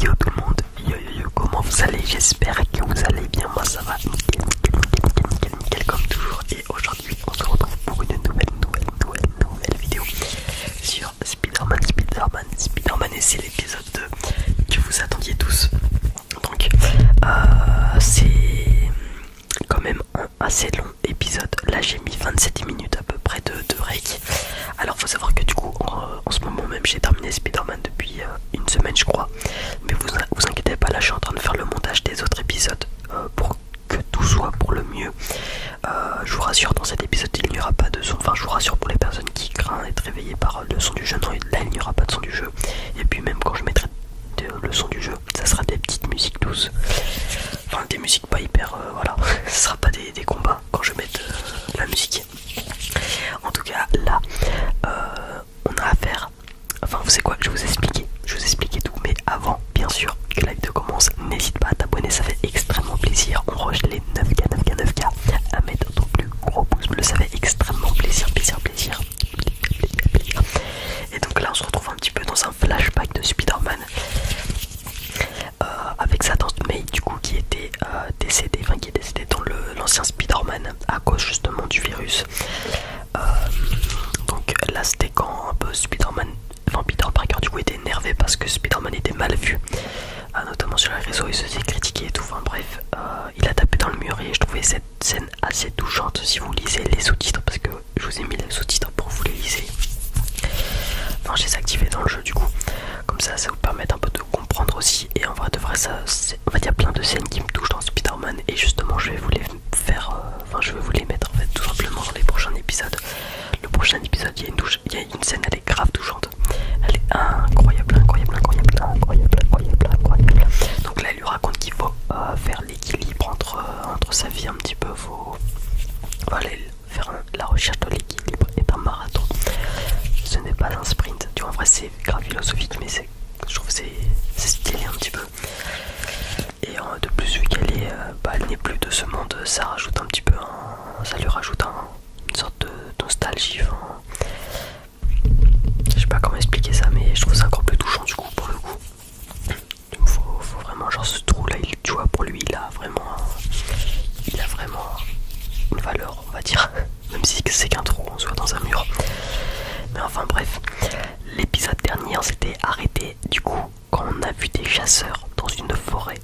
Yo tout le monde, yo yo yo, comment vous allez? J'espère que vous allez bien, moi ça va nickel, nickel, nickel, nickel, comme toujours. Et aujourd'hui, on se retrouve pour une nouvelle, nouvelle, nouvelle, nouvelle vidéo sur Spider-Man, Spider-Man, Spider-Man. Et c'est l'épisode 2 que vous attendiez tous. Donc, euh, c'est quand même assez long épisode. Là j'ai mis 27 minutes à peu près de, break Alors faut savoir que du coup euh, en, ce moment même j'ai terminé Spider-Man depuis euh, une semaine je crois. Mais vous, vous inquiétez pas, là je suis en train de faire le montage des autres épisodes euh, pour que tout soit pour le mieux. je vous rassure dans cet épisode il n'y aura pas de son. Enfin je vous rassure pour les personnes qui craignent être réveillées par le son du jeu. Non là il n'y aura pas de son du jeu. Et puis même quand je mettrai le son du jeu, ça sera des petites musiques douces. Enfin des musiques pas hyper. Euh, voilà, ce sera pas des, combats quand je mets la musique. En tout cas, là, euh, on a affaire. Enfin, vous savez quoi, je vais vous expliquer. Je vous expliquer tout, mais avant, bien sûr, que la vidéo commence, n'hésite pas à t'abonner, ça fait extrêmement plaisir. On rush les 9K, 9K, 9 À mettre ton plus gros pouce bleu, ça fait extrêmement plaisir, plaisir, plaisir. Et donc là, on se retrouve un petit peu dans un flashback de Spider-Man. Euh, avec sa tante May du coup qui était décédé, euh, décédée, qui est décédé dans l'ancien Spider-Man à cause justement du virus. Euh, donc là c'était quand un peu Spider-Man, par Parker du coup était énervé parce que Spider-Man était mal vu, notamment sur les réseaux, il se faisait critiquer et tout, bref, il a tapé dans le mur et je trouvais cette scène assez touchante si vous lisez les sous-titres parce que je vous ai mis les sous-titres pour vous les liser. Enfin, j'ai activé dans le jeu du coup. Comme ça, ça vous permet un peu de comprendre aussi. Et on vrai, de ça, il y a plein de scènes qui me touchent dans Spider-Man. Et justement, je vais vous les faire. Euh, enfin, je vais vous les mettre en fait tout simplement dans les prochains épisodes. Le prochain épisode, il y a une, scène, elle est grave touchante. Elle est incroyable, incroyable, incroyable, incroyable, incroyable, incroyable. Donc là, elle lui raconte qu'il faut euh, faire l'équilibre entre, euh, entre sa vie un petit peu. Faut... Voilà, faire la recherche de l'équilibre est un marathon. Ce n'est pas un sprint. Tu en vrai, c'est grave philosophique, mais je trouve c'est stylé un petit peu. Et euh, de plus, vu qu'elle est, euh, bah, n'est plus de ce monde, ça rajoute un petit peu, ça lui rajoute une sorte de, nostalgie. je sais pas comment expliquer ça, mais je trouve ça encore plus touchant du coup pour le coup faut, vraiment genre ce trou là, il, tu vois pour lui il a vraiment il a vraiment une valeur on va dire même si c'est qu'un trou on soit dans un mur mais enfin bref l'épisode dernier s'était arrêté du coup quand on a vu des chasseurs dans une forêt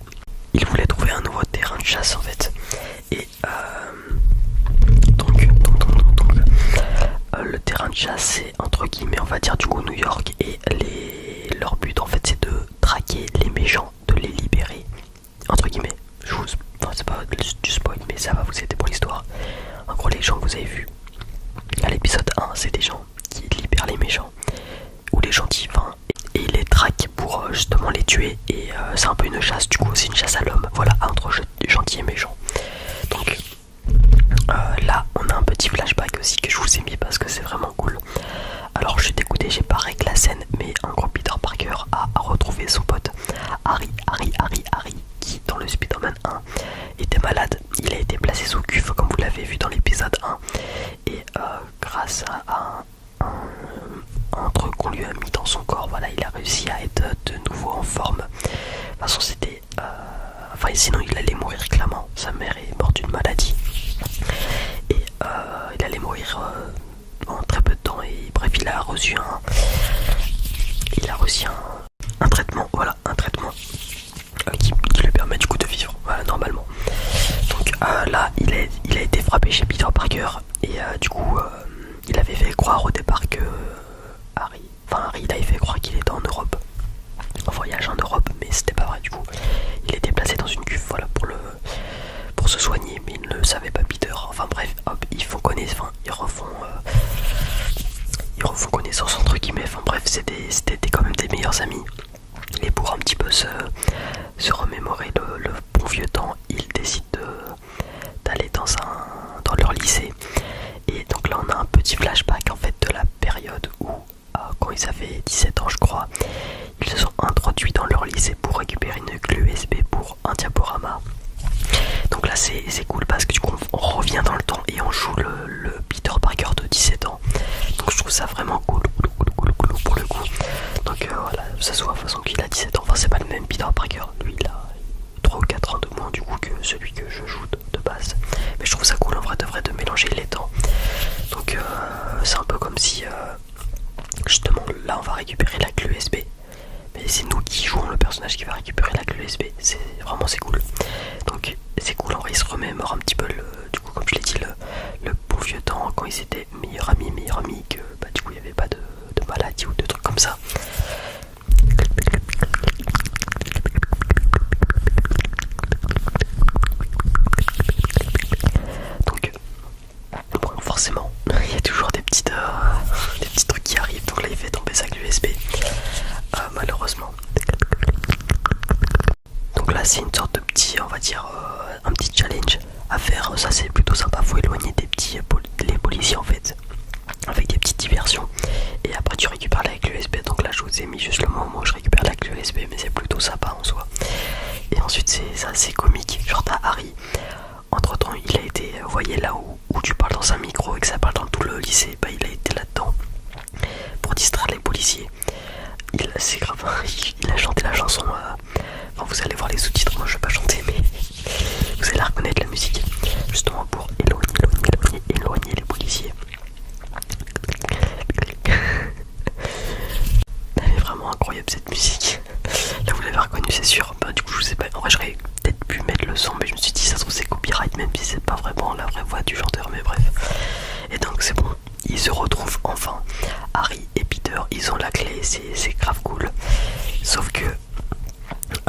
ils voulaient trouver un nouveau terrain de chasse en fait et euh, donc, euh, le terrain de chasse entre guillemets, on va dire, du coup, New York. Et les... leur but, en fait, c'est de traquer les méchants, de les libérer. Entre guillemets, je vous. c'est pas du spoil, mais ça va vous aider pour l'histoire. En gros, les gens que vous avez vu à l'épisode 1, c'est des gens qui libèrent les méchants ou les gentils, enfin, et les traquent pour euh, justement les tuer. Et euh, c'est un peu une chasse, du coup, c'est une chasse à l'homme. Voilà, entre gentils et méchants. Donc, euh, là, on a un petit flashback aussi que je vous ai mis parce que c'est vraiment cool. Alors, je suis dégoûté, j'ai pas réglé la scène, mais un gros, Peter Parker a, retrouvé son pote Harry, Harry, Harry, Harry, qui dans le Spider-Man 1 était malade. Il a été placé sous cuve, comme vous l'avez vu dans l'épisode 1, et euh, grâce à, un, truc qu'on lui a mis dans son corps, voilà, il a réussi à être de nouveau en forme. De toute c'était et euh, sinon il allait mourir clairement sa mère est morte d'une maladie et euh, il allait mourir euh, en très peu de temps et bref il a reçu un il a reçu un, traitement voilà un traitement qui, lui permet du coup de vivre normalement donc là il, a été frappé chez Peter Parker et du coup il avait fait croire au départ que Harry enfin Harry il fait croire qu'il était en Europe voyage en Europe, mais c'était pas vrai du coup. Il était placé dans une cuve, voilà, pour le pour se soigner, mais il ne savait pas Peter. Enfin bref, hop, ils font euh, refont, connaissance entre guillemets. Enfin bref, c'était quand même des meilleurs amis. Et pour un petit peu se, se remémorer le, le bon vieux temps, ils décident d'aller dans un dans leur lycée. Et donc là, on a un petit flashback en fait de la période où euh, quand ils avaient 17 ans je crois, ils se sont introduits dans leur lycée pour récupérer une clé USB pour un diaporama. Donc là c'est cool parce que du coup on revient dans le temps et on joue le, Peter Parker de 17 ans. Donc je trouve ça vraiment cool, pour le coup. Donc euh, voilà, ça se voit de toute façon qu'il a 17 ans, enfin c'est pas le même Peter Parker, lui il a 3 ou 4 ans de moins du coup que celui que je joue de base. Mais je trouve ça cool en vrai de de mélanger les temps Donc euh, c'est un peu comme si euh, justement là on va récupérer la clé USB. Mais c'est nous qui jouons le personnage qui va récupérer la clé USB. C'est vraiment c'est cool. Donc c'est cool en vrai il se remémore un petit peu du coup comme je l'ai dit le, le bon vieux temps quand ils étaient meilleurs amis, meilleurs amis que bah, du coup il n'y avait pas de, de maladie ou de trucs comme ça. Donc, forcément, il y a toujours euh, des, petits trucs qui arrivent. Donc là, il fait tomber ça avec USB, euh, malheureusement. Donc là, c'est une sorte de petit, on va dire, euh, un petit challenge à faire. Ça, c'est plutôt sympa. Faut éloigner des petits, les policiers en fait, avec des petites diversions et après tu récupères la clé USB donc là je vous ai mis juste le moment où je récupère la clé USB mais c'est plutôt sympa en soi et ensuite c'est assez comique genre t'as Harry entre temps il a été vous euh, voyez là où, tu parles dans un micro et que ça parle dans tout le lycée bah il a été là dedans pour distraire les policiers il c'est grave il a chanté la chanson enfin euh, vous allez voir les sous-titres moi je vais pas chanter mais vous allez reconnaître la musique justement pour éloigner les policiers Elle est vraiment incroyable cette musique. Là vous l'avez reconnue c'est sûr. Bah du coup je sais pas. En j'aurais peut-être pu mettre le son mais je me suis dit ça se trouve c'est copyright même si c'est pas vraiment la vraie voix du chanteur mais bref. Et donc c'est bon. Ils se retrouvent enfin. Harry et Peter ils ont la clé c'est grave cool. Sauf que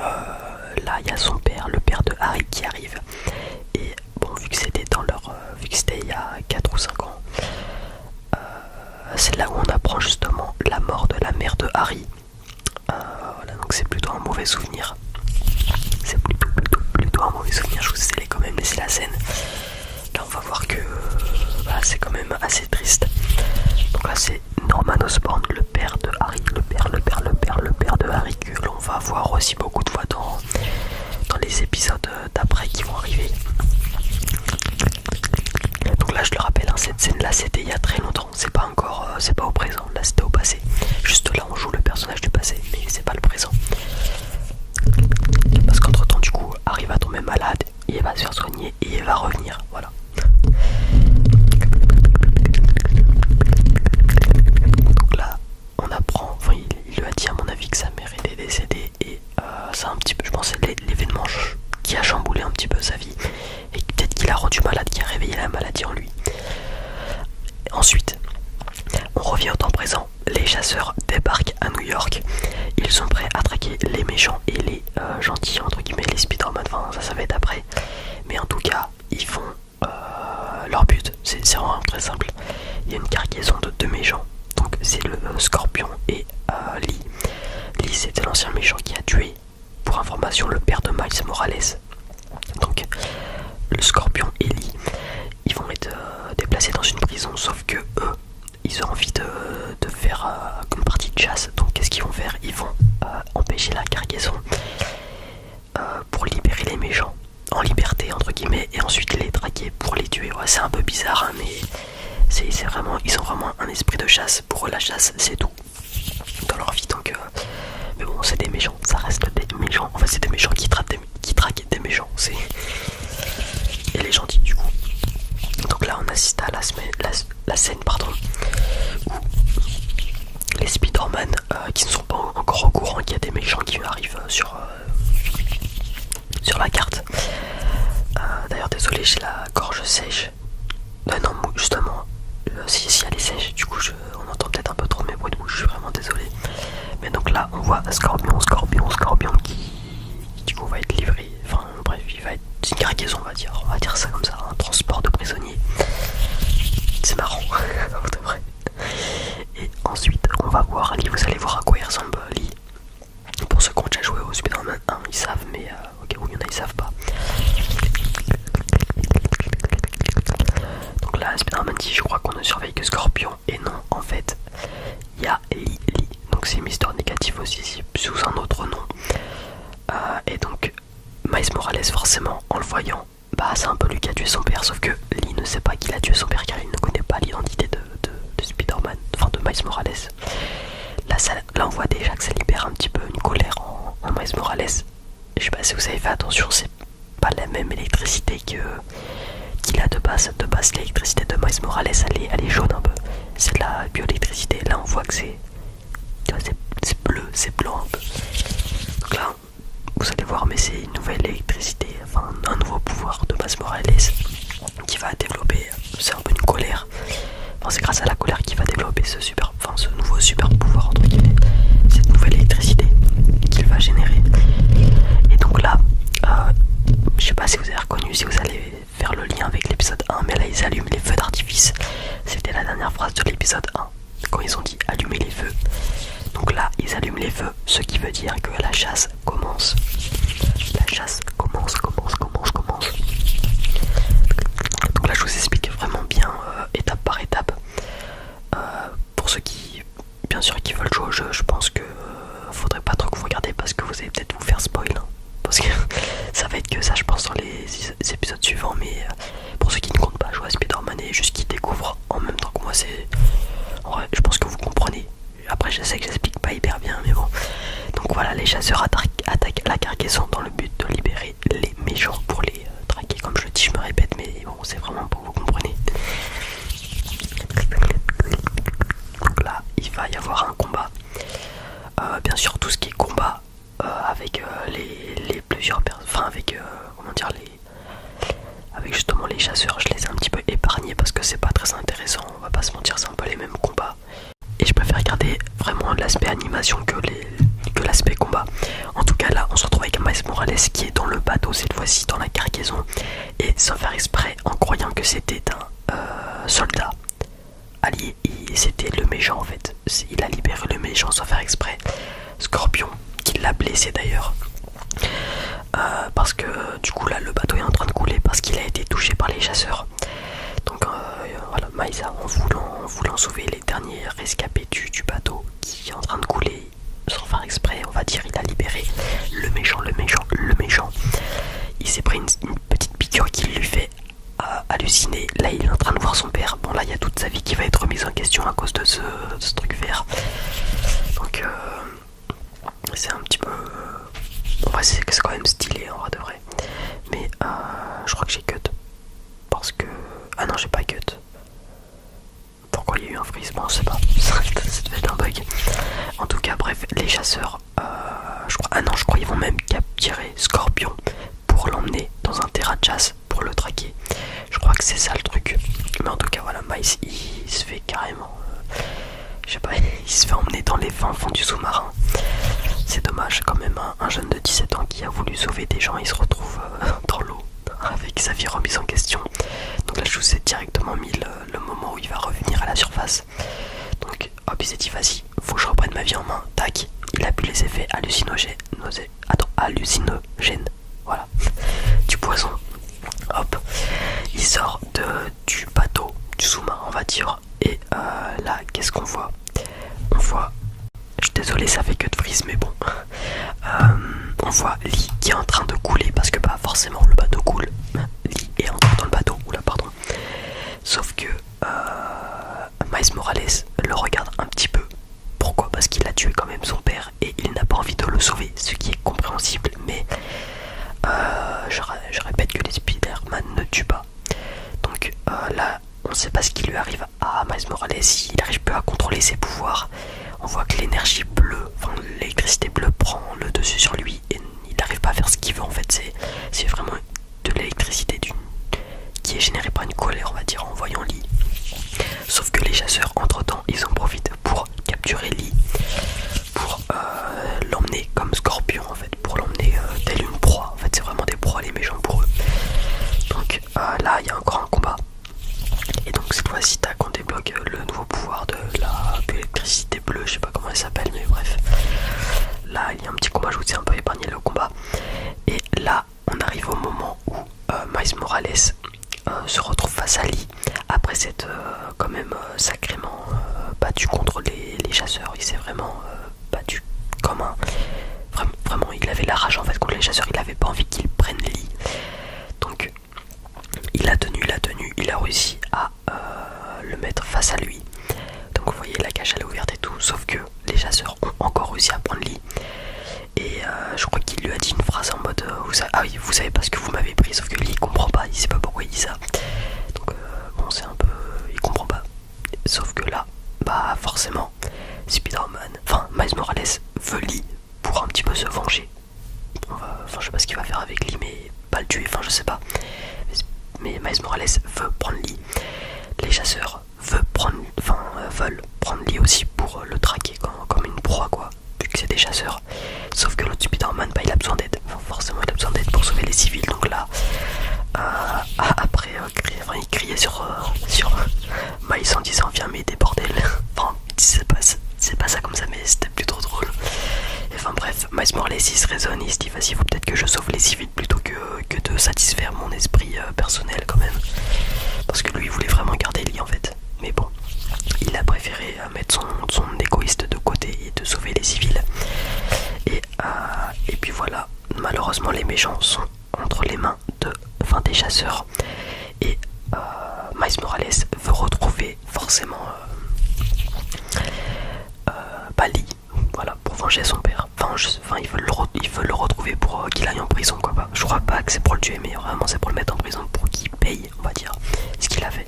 euh, là il y a son père, le père de Harry qui arrive et bon, vu que c'était dans leur, euh, vu que c'était il y a 4 ou 5 ans, euh, c'est là où on apprend justement la mort de la mère de Harry. Euh, voilà, donc c'est plutôt un mauvais souvenir. C'est plutôt, plutôt, plutôt un mauvais souvenir. Je vous ai quand même laissé la scène. Là, on va voir que bah, c'est quand même assez triste. Donc là, c'est Norman Osborn, le père de Harry, le père, le père, le père, le père de Harry on va voir aussi beaucoup de fois dans, les épisodes d'après qui vont arriver. Donc là je le rappelle, en hein, cette scène là c'était il y a très longtemps, c'est pas encore, euh, c'est pas au présent, là c'était au passé. Juste là on joue le personnage du passé, mais c'est pas le présent. Parce qu'entre temps du coup arrive à tomber malade, il va se faire soigner et il va revenir, voilà. Donc on apprend, enfin, il, lui a dit à mon avis que sa mère était décédée et c'est euh, un petit peu, je pense, l'événement qui a chamboulé un petit peu sa vie et peut-être qu'il a rendu malade, qui a réveillé la maladie en lui. Ensuite, on revient au temps présent. Les chasseurs débarquent à New York. Ils sont prêts à traquer les méchants et les euh, gentils, entre guillemets, les Spider-Man. Enfin, ça, ça va être après. Mais en tout cas, ils font euh, leur but. C'est vraiment très simple. Il y a une cargaison de deux méchants. Donc c'est le euh, Scorpion et Ali. Euh, Lee. Lee c'était l'ancien méchant qui a tué, pour information, le père de Miles Morales. Donc le Scorpion et Lee, ils vont être déplacés dans une prison, sauf que eux, ils ont envie de, faire une partie de chasse. Donc qu'est-ce qu'ils vont faire Ils vont empêcher la cargaison euh, pour libérer les méchants en liberté entre guillemets et ensuite les traquer pour les tuer ouais, c'est un peu bizarre hein, mais c'est vraiment ils ont vraiment un esprit de chasse pour la chasse c'est tout dans leur vie donc euh, mais bon c'est des méchants ça reste des méchants en fait c'est des méchants qui, qui traquent des méchants c'est et les gentils du coup donc là on assiste à la, scène pardon où les Spider-Man euh, qui sont encore au courant qu'il y a des méchants qui arrivent euh, sur, euh, sur la carte. Euh, d'ailleurs, désolé, j'ai la gorge sèche. non, justement, si, elle est sèche, du coup, on entend peut-être un peu trop mes bruits de bouche, je suis vraiment désolé. Mais donc là, on voit Scorpion, Scorpion, Scorpion qui, du coup, va être livré. Enfin, bref, il va être une cargaison, on va dire. On va dire ça comme ça, un transport de prisonniers. C'est marrant, vrai. Et ensuite, on va voir Ali. Vous allez voir à quoi il ressemble Pour ceux qui ont déjà joué au Spider-Man 1, ils savent, mais euh, ok où il y en a, ils savent pas. Donc là, Spider-Man dit Je crois qu'on ne surveille que Scorpion. Et non, en fait, il y a Lily. Donc c'est Mister Négatif aussi, sous un autre nom. Euh, et donc, Miles Morales, forcément, en le voyant, bah c'est un peu lui qui a tué son père, sauf que Lee ne sait pas qu'il a tué son père car il ne connaît pas l'identité de, de, Spider-Man, enfin de Miles Morales. Là, on voit déjà que ça libère un petit peu une colère en, Miles Morales. Je sais pas si vous avez fait attention, c'est pas la même électricité que qu'il a de base. De base, l'électricité de Miles Morales, elle est, elle est jaune un peu. C'est de la bioélectricité. Là, on voit que c'est c'est bleu, c'est blanc un peu. Donc là, vous allez voir, mais c'est une nouvelle électricité, enfin un nouveau pouvoir de base Morales qui va développer. C'est un peu une colère. c'est grâce à la colère qu'il va développer ce super, enfin ce nouveau super pouvoir entre cette nouvelle électricité qu'il va générer. Et donc là, euh, je sais pas si vous avez reconnu, si vous allez faire le lien avec l'épisode 1, mais là ils allument les feux d'artifice. C'était la dernière phrase de l'épisode 1 quand ils ont dit allumer les feux. Donc là, ils allument les feux, ce qui veut dire que la chasse commence. La chasse commence, commence, commence, commence. Donc là, je vous explique vraiment bien euh, étape par étape. Euh, pour ceux qui, bien sûr, qui veulent jouer au jeu, je pense que euh, faudrait pas trop que vous regardez parce que vous allez peut-être vous faire spoil. Hein. parce que ça va être que ça, je pense, dans les épisodes suivants. Mais pour ceux qui ne comptent pas je à Spider-Man et juste qui découvrent en même temps que moi, c'est. Ouais, je pense que vous comprenez. Après, je sais que j'explique pas hyper bien, mais bon. Donc voilà, les chasseurs attaquent, la cargaison dans le but de libérer les méchants pour les euh, traquer. Comme je le dis, je me répète, mais bon, c'est vraiment pour vous comprenez. Donc là, il va y avoir un combat. Euh, bien sûr, tout ce qui est combat, euh, avec euh, les, plusieurs avec euh, comment dire les, avec justement les chasseurs, je les ai un petit peu épargnés parce que c'est pas très intéressant, on va pas se mentir, c'est un peu les mêmes combats. Et je préfère garder vraiment l'aspect animation que les l'aspect combat. En tout cas là, on se retrouve avec Maes Morales qui est dans le bateau cette fois-ci dans la cargaison et sans faire exprès en croyant que c'était un soldat allié, et c'était le méchant en fait il a libéré le méchant sans faire exprès. Scorpion, qui l'a blessé d'ailleurs. Euh, parce que du coup là le bateau est en train de couler parce qu'il a été touché par les chasseurs. Donc euh, voilà, Maïsa en voulant, sauver les derniers rescapés du, bateau qui est en train de couler sans faire exprès, on va dire, il a libéré le méchant, le méchant, le méchant. Il s'est pris une, petite piqûre qui lui fait halluciné. Là, il est en train de voir son père. Bon, là, il y a toute sa vie qui va être remise en question à cause de ce, truc vert. Donc, euh, c'est un petit peu. Euh, c'est quand même stylé en vrai de vrai. Mais euh, je crois que j'ai cut. Parce que. Ah non, j'ai pas cut. Pourquoi il y a eu un freeze Bon, je sais pas. ça devait être un bug. En tout cas, bref, les chasseurs. je crois... Ah non, je crois qu'ils vont même capturer Scorpion pour l'emmener dans un terrain de chasse pour le traquer. Je crois que c'est ça le truc. Mais en tout cas, voilà, mais il, se fait carrément. Euh, je sais pas, il se fait emmener dans les vins fonds du sous-marin. C'est dommage quand même, hein. un, jeune de 17 ans qui a voulu sauver des gens, il se retrouve euh, dans l'eau avec sa vie remise en question. Donc là, je vous ai directement mis le, le moment où il va revenir à la surface. Donc, hop, il s'est dit, faut que je reprenne ma vie en main, tac, il a bu les effets hallucinogènes, attends, hallucinogènes, voilà, du poison, hop, il sort de, du bateau, du sous-marin on va dire, et euh, là qu'est-ce qu'on voit On voit, je suis désolé ça fait que de frise mais bon, euh, on voit Lee qui est en train de couler parce que pas bah, forcément le bateau coule, Lee est encore dans le bateau, oula pardon, sauf que euh, Morales le regarde un petit peu. Pourquoi Parce qu'il a tué quand même son père et il n'a pas envie de le sauver, ce qui est compréhensible. Mais euh, je, répète que les Spider-Man ne tuent pas. Donc euh, là, on ne sait pas ce qui lui arrive à Miles Morales. Il arrive plus à contrôler ses pouvoirs, on voit que l'énergie bleue, enfin l'électricité bleue prend le dessus sur lui et il n'arrive pas à faire ce qu'il veut en fait. C'est vraiment de l'électricité qui est générée par une colère, on va dire, en voyant Lee. Sauf que les chasseurs, entre-temps, ils en profitent pour capturer Lee, pour euh, l'emmener comme scorpion, en fait, pour l'emmener euh, tel une proie. En fait, c'est vraiment des proies, les méchants pour eux. Donc euh, là, il y a encore un combat. Et donc cette fois-ci, tac, on débloque le nouveau pouvoir de électricité bleue, je sais pas comment elle s'appelle, mais bref. Là, il y a un petit combat, je vous un peu épargné le combat. Et là, on arrive au moment où euh, maïs Morales euh, se retrouve face à Lee après cette euh, quand même sacrément battu contre les, chasseurs. Il s'est vraiment battu comme un. Vraiment, il avait la rage en fait contre les chasseurs. Il n'avait pas envie qu'ils prennent Lee. Donc, il a tenu, il a tenu, il a réussi à le mettre face à lui. Donc, vous voyez, la cage elle est ouverte et tout. Sauf que les chasseurs ont encore réussi à prendre Lee. Et euh, je crois qu'il lui a dit une phrase en mode euh, vous Ah oui, vous savez pas ce que vous m'avez pris, sauf que Lee il comprend pas, il sait pas pourquoi il dit ça. Donc, euh, bon, c'est un peu. Il comprend pas. Sauf que là, bah forcément, Spider-Man, enfin Miles Morales, veut Lee pour un petit peu se venger. Bah, enfin, je sais pas ce qu'il va faire avec Lee, mais pas le tuer, enfin, je sais pas. Mais Miles Morales veut prendre Lee. Les chasseurs veut prendre, enfin, euh, veulent prendre lui aussi pour euh, le traquer comme, une proie, quoi, vu que c'est des chasseurs. Sauf que l'autre Spider-Man, bah, il a besoin d'aide. forcément, il a besoin d'aide pour sauver les civils. Donc là, euh, après, il criait sur, sur Miles en disant Viens m'aider, bordel. Enfin, c'est pas, ça comme ça, mais c'était plutôt drôle. enfin, bref, Miles Morales, se raisonne, il se dit Vas-y, vous, peut-être que je sauve les civils plutôt que, de satisfaire mon esprit euh, personnel quand même. Parce que lui il voulait vraiment garder Lee en fait. Mais bon, il a préféré euh, mettre son, égoïste de côté et de sauver les civils. Et, euh, et puis voilà, malheureusement les méchants sont entre les mains de, enfin, des chasseurs. Et Miles Morales veut retrouver forcément euh, Bali voilà, pour venger son père. Enfin, veulent le retrouver pour euh, qu'il aille en prison, quoi. pas, bah, je crois pas que c'est pour le tuer, mais vraiment c'est pour le mettre en prison, pour qu'il paye, on va dire, ce qu'il a fait.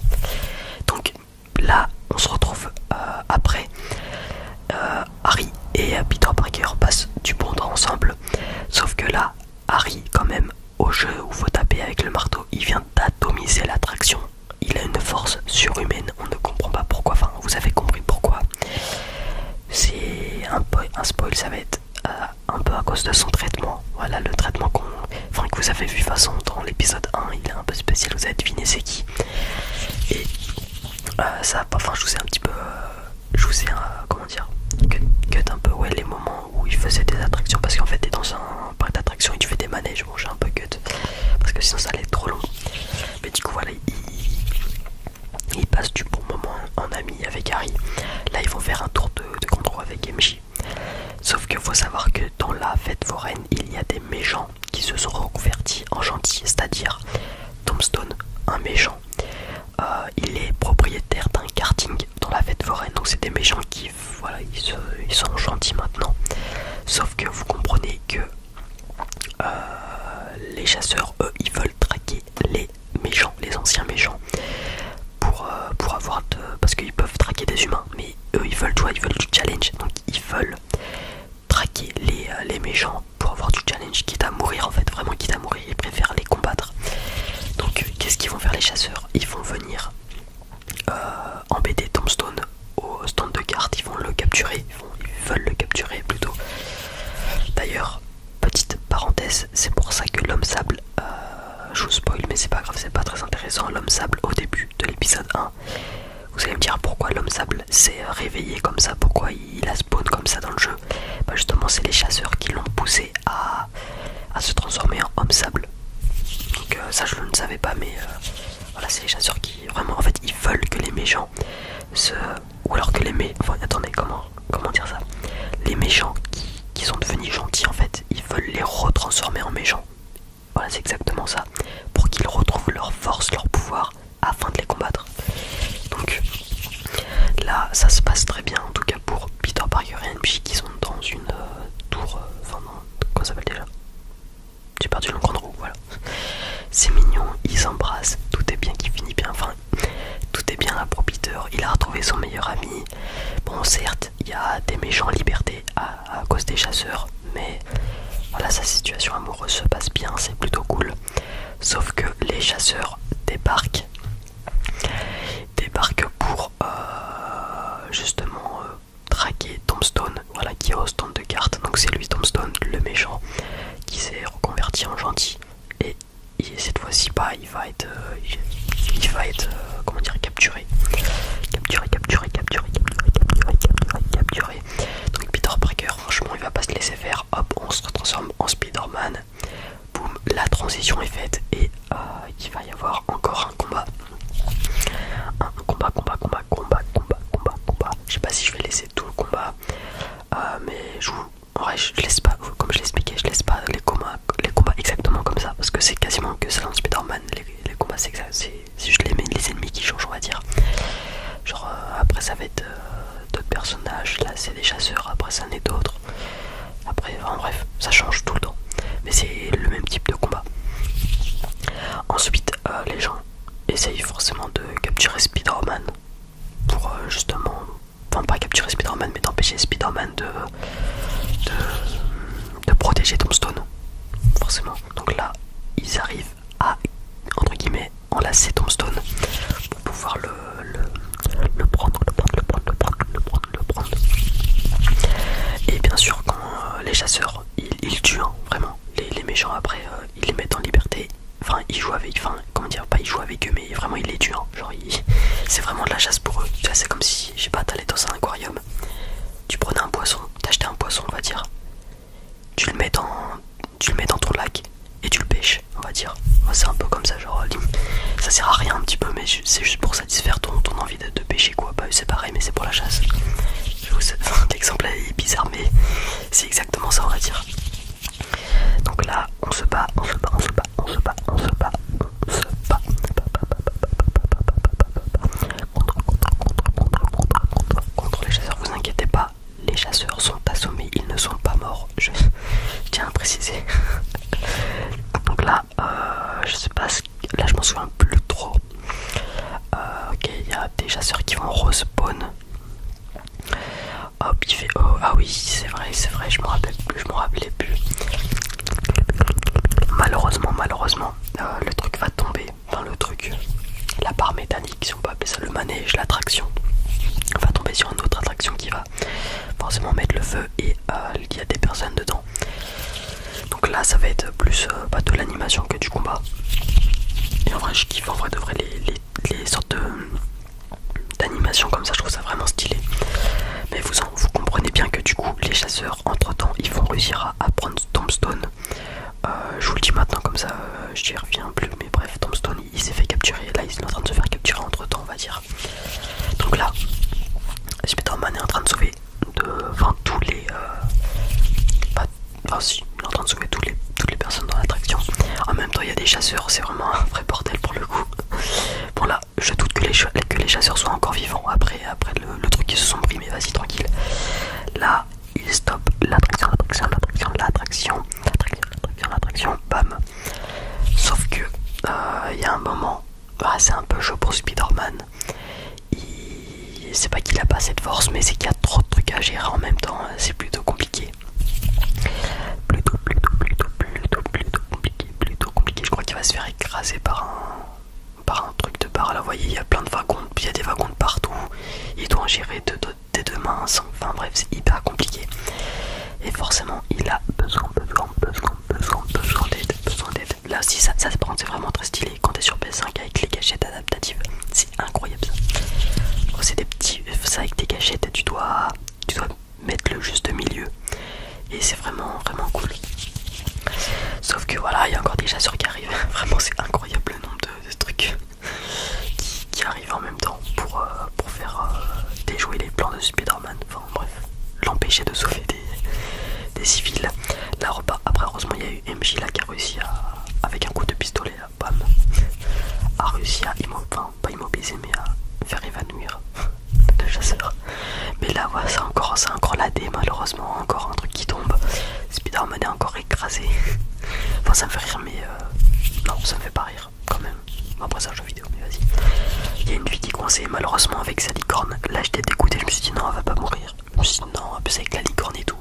Donc là, on se retrouve euh, après. Euh, Harry et Peter Parker passent du bon temps ensemble, sauf que là, Harry, quand même, au jeu où faut taper avec le marteau, il vient d'atomiser l'attraction il a une force surhumaine, on ne comprend pas pourquoi, enfin vous avez compris pourquoi. C'est un, spoil, ça va être euh, un peu à cause de son traitement. Voilà le traitement qu'on, enfin, que vous avez vu de façon dans l'épisode 1, il est un peu spécial, vous avez deviné c'est qui. Et euh, ça, enfin je vous ai un petit peu, euh, je vous ai, comment dire, cut un peu ouais, les moments où il faisait des attractions parce qu'en fait t'es dans un parc d'attractions et tu fais des manèges, bon j'ai un peu cut parce que sinon ça allait être trop long. Mais du coup, voilà, ils, du bon moment en ami avec Harry. Là, ils vont faire un tour de, contrôle avec MJ. Sauf que faut savoir que dans la fête foraine, il y a des méchants qui se sont reconvertis en gentils, c'est-à-dire Tombstone, un méchant. Euh, il est propriétaire d'un karting dans la fête foraine, donc c'est des méchants qui voilà, ils sont gentils maintenant. Sauf que vous comprenez que euh, les chasseurs, eux, ils veulent traquer les méchants, les anciens méchants, pour, euh, avoir parce qu'ils peuvent traquer des humains, mais eux, ils veulent, ils veulent du challenge, donc ils veulent traquer euh, les, méchants pour avoir du challenge, quitte à mourir en fait, vraiment quitte à mourir, ils préfèrent les combattre. Donc, qu'est-ce qu'ils vont faire les chasseurs Ils vont venir embêter Tombstone au stand de cartes, ils vont le capturer, ils, veulent le capturer plutôt. D'ailleurs, petite parenthèse, c'est pour ça que l'homme sable, euh, je vous spoil, mais c'est pas grave, c'est pas très intéressant. L'homme sable au début de l'épisode 1, vous allez me dire pourquoi l'homme sable s'est euh, réveillé comme ça, pourquoi il a spawn comme ça dans le jeu. Bah, justement, c'est les chasseurs qui l'ont poussé à, à se transformer en homme sable. Donc, euh, ça, je ne savais pas, mais. Voilà, c'est les chasseurs qui vraiment en fait ils veulent que les méchants se. Ou alors que les méchants. attendez, comment, comment dire ça Les méchants qui, qui sont devenus gentils en fait, ils veulent les retransformer en méchants. Voilà, c'est exactement ça. Pour qu'ils retrouvent leur force, leur pouvoir afin de les combattre. Donc là, ça se passe très bien en tout cas pour Peter Parker et NPJ qui sont dans une euh, tour. Euh, enfin, comment ça s'appelle déjà j'ai perdu le grand roue, voilà. C'est mignon, ils s'embrassent, tout est bien qui finit bien, enfin, tout est bien à propiteur, il a retrouvé son meilleur ami. Bon, certes, il y a des méchants en liberté à, cause des chasseurs, mais voilà, sa situation amoureuse se passe bien, c'est plutôt cool. Sauf que les chasseurs débarquent, débarquent pour euh, justement euh, Traqué Tombstone, voilà qui est au stand de cartes. Donc c'est lui Tombstone, le méchant, qui s'est reconverti en gentil. Et, cette fois-ci, pas il va être, euh, il, va être, euh, comment dire, capturé, capturé, capturé, capturé, capturé, capturé, capturé, capturé. Donc Peter Parker, franchement, il va pas se laisser faire. Hop, on se transforme en Spider-Man. Boum, la transition est faite et euh, il va y avoir encore un combat combat, combat, combat, combat, combat, combat, Je sais pas si je vais laisser tout le combat, euh, mais je vous. En vrai, je laisse pas, comme je l'expliquais, je laisse pas les combats, les combats exactement comme ça parce que c'est quasiment que ça dans Spider-Man. Les, combats, c'est je les, les ennemis qui changent, on va dire. Genre, euh, après, ça va être euh, d'autres personnages. Là, c'est des chasseurs, après, ça en est d'autres. Après, en bref, ça change tout le temps, mais c'est le même type de combat. Ensuite, les gens essaye forcément de capturer Spider-Man pour euh, justement, enfin pas capturer Spider-Man mais d'empêcher Spider-Man de, de, de protéger Tombstone, forcément. Donc là, ils arrivent à, entre guillemets, enlacer Tombstone pour pouvoir le, le, prendre, le prendre, le prendre, le prendre, le prendre, Et bien sûr, quand euh, les chasseurs, ils, ils tuent, hein, vraiment, les, méchants après euh, ils les mettent en liberté enfin ils jouent avec enfin comment dire pas ils jouent avec eux mais vraiment ils les tuent hein. genre c'est vraiment de la chasse pour eux c'est comme si je sais pas t'allais dans un aquarium tu prenais un poisson t'achetais un poisson on va dire tu le mets dans tu mets dans ton lac et tu le pêches on va dire c'est un peu comme ça genre euh, ça sert à rien un petit peu mais c'est juste pour satisfaire ton, envie de, pêcher quoi pas bah, c'est pareil mais c'est pour la chasse Exemple, l'exemple est bizarre, mais c'est exactement ça, on va dire. Donc là, on se bat, on se bat, on se bat, on se bat, on se bat, on se bat. Contre, les chasseurs, vous inquiétez pas, les chasseurs sont assommés, ils ne sont pas morts. Je tiens à préciser. Donc là, je sais pas là je m'en souviens plus trop. Euh, ok, il y a des chasseurs qui vont respawn. Hop, il fait oh, ah oui, c'est vrai, c'est vrai, je me rappelle plus, je me rappelais plus. Malheureusement, malheureusement, euh, le truc va tomber. Enfin, le truc, la part métallique, si on peut appeler ça le manège, l'attraction, va tomber sur une autre attraction qui va forcément mettre le feu et euh, il y a des personnes dedans. Donc là, ça va être plus euh, bah, de l'animation que du combat. Et en vrai, je kiffe en vrai de vrai les, sortes d'animation comme ça, je trouve ça vraiment stylé. Mais vous, comprenez bien que du coup, les chasseurs, entre temps, ils vont réussir à, prendre Tombstone. Euh, je vous le dis maintenant, comme ça, euh, je n'y reviens plus. Mais bref, Tombstone il, s'est fait capturer. Là, il est en train de se faire capturer entre temps, on va dire. Donc là, Spider-Man est en train de sauver devant de, tous les, euh, en train de toutes les, personnes dans l'attraction. En même temps, il y a des chasseurs, c'est vraiment un vrai bordel pour le coup. Bon là, je doute que les, chasseurs soient encore vivants après, après le, truc qu'ils se sont pris, mais vas-y tranquille. Là, il stop l'attraction, l'attraction, l'attraction, l'attraction, l'attraction, bam. Sauf que euh, il y a un moment, ah, c'est un peu chaud pour Spider-Man c'est pas qu'il a pas cette force mais c'est qu'il y a trop de trucs à gérer en même temps hein. c'est plutôt compliqué plutôt plutôt plutôt plutôt plutôt compliqué plutôt compliqué je crois qu'il va se faire écraser par un par un truc de bar là vous voyez il y a plein de wagons il y a des wagons partout il doit en gérer deux des deux mains enfin bref c'est hyper compliqué et forcément il a besoin besoin besoin besoin besoin d'aide besoin d'aide Là aussi, ça, se prend, c'est vraiment très stylé. Quand t'es sur PS5 avec les gâchettes adaptatives, c'est incroyable c'est des petits. Euh, ça avec tes gâchettes, tu dois, tu dois mettre le juste milieu. Et c'est vraiment, vraiment cool. Sauf que voilà, il y a encore des chasseurs qui arrivent. Vraiment, c'est incroyable le nombre de, trucs qui, arrivent en même temps pour, euh, faire euh, déjouer les plans de Spider-Man. Enfin, bref, l'empêcher de sauver des, civils. La repas. Après, heureusement, il y a eu MJ là qui a réussi à, avec un coup de pistolet, bam, a réussi à immobiliser, enfin, pas immobiliser, mais à faire évanouir le chasseur. Mais là, voilà, c'est encore, encore la D, malheureusement, encore un truc qui tombe. spider est encore écrasé. Enfin, ça me fait rire, mais euh, non, ça me fait pas rire quand même. Après, ça, jeu vidéo, mais vas-y. Il y a une fille qui est malheureusement, avec sa licorne. Là, j'étais dégoûté, je me suis dit non, elle va pas mourir non non, avec la licorne et tout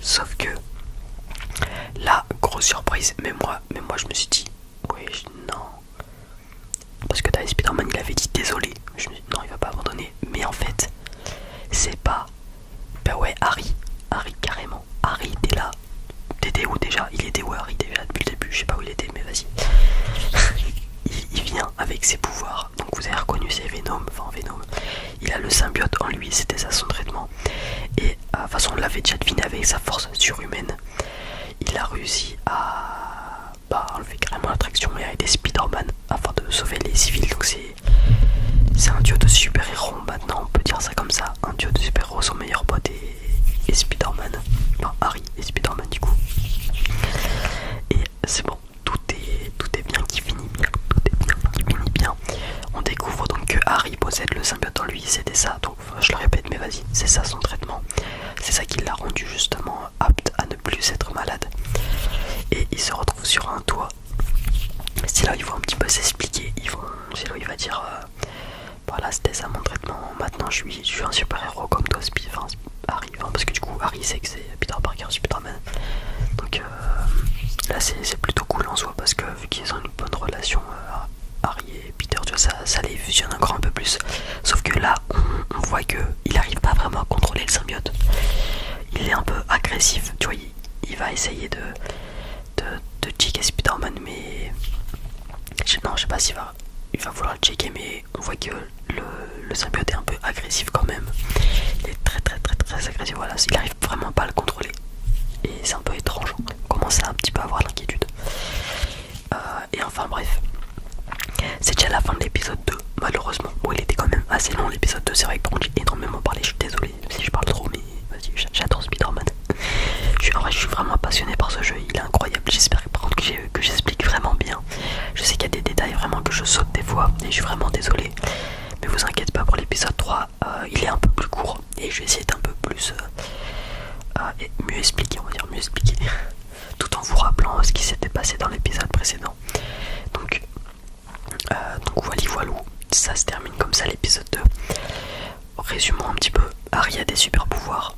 sauf que là grosse surprise mais moi mais moi je me suis dit oui non parce que t'as Spider-Man il avait dit désolé je me suis dit, non il va pas abandonner mais en fait c'est pas bah ouais Harry Harry carrément Harry était là t'étais où déjà il était où Harry déjà depuis le début je sais pas où il était mais vas-y il, vient avec ses pouvoirs. Donc vous avez reconnu ses Venom, enfin Venom. Il a le symbiote en lui, c'était ça son traitement. Et euh, de toute façon on l'avait déjà deviné avec sa force surhumaine. Il a réussi à bah, enlever carrément l'attraction et à aider Spider-Man afin de sauver les civils. Donc c'est un dieu de super-héros maintenant, on peut dire ça comme ça. Un dieu de super-héros, son meilleur pote et, Spiderman Spider-Man. Enfin Harry et Spider-Man du coup. Et c'est bon, tout est, tout est bien qui finit bien, tout est bien bien. On découvre donc que Harry possède le symbiote en lui, c'était ça, donc je le répète, mais vas-y, c'est ça son traitement. C'est ça qui l'a rendu justement apte à ne plus être malade. Et il se retrouve sur un toit. C'est là où ils vont un petit peu s'expliquer. C'est là où il va dire euh, Voilà, c'était ça mon traitement. Maintenant, je suis, un super héros comme toi, Spi. Hein, Harry Hein, parce que du coup Harry sait que c'est Peter Parker, euh, c'est Donc là c'est plutôt cool en soi parce que vu qu'ils ont une bonne relation euh, Harry et Peter, tu vois, ça, les fusionne encore un peu plus. Sauf que là on, voit voit qu'il arrive pas vraiment à contrôler le symbiote. Il est un peu agressif, tu vois, il, va essayer de de, de checker Spider-Man mais... Non je sais pas s'il va il va vouloir le checker mais on voit que le, symbiote est un peu agressif quand même. Il est très très très très agressif, voilà, il arrive vraiment pas à le contrôler. Et c'est un peu étrange, on commence à un petit peu avoir l'inquiétude. Euh, et enfin bref, c'est déjà la fin de l'épisode 2, malheureusement. Bon, il était quand même assez long l'épisode 2, c'est vrai que j'ai énormément parlé, je suis désolé si je parle trop, mais vas-y, j'adore Spider-Man. Je, je suis vraiment passionné par ce jeu, il est incroyable, j'espère que j'explique vraiment bien je sais qu'il y a des détails vraiment que je saute des fois et je suis vraiment désolé. Mais vous inquiétez pas pour l'épisode 3, euh, il est un peu plus court et je vais essayer d'être un peu plus euh, euh, mieux expliquer, on va dire mieux expliquer, tout en vous rappelant ce qui s'était passé dans l'épisode précédent. Donc, euh, donc voilà, ça se termine comme ça l'épisode 2. Résumons un petit peu, Aria a des super pouvoirs,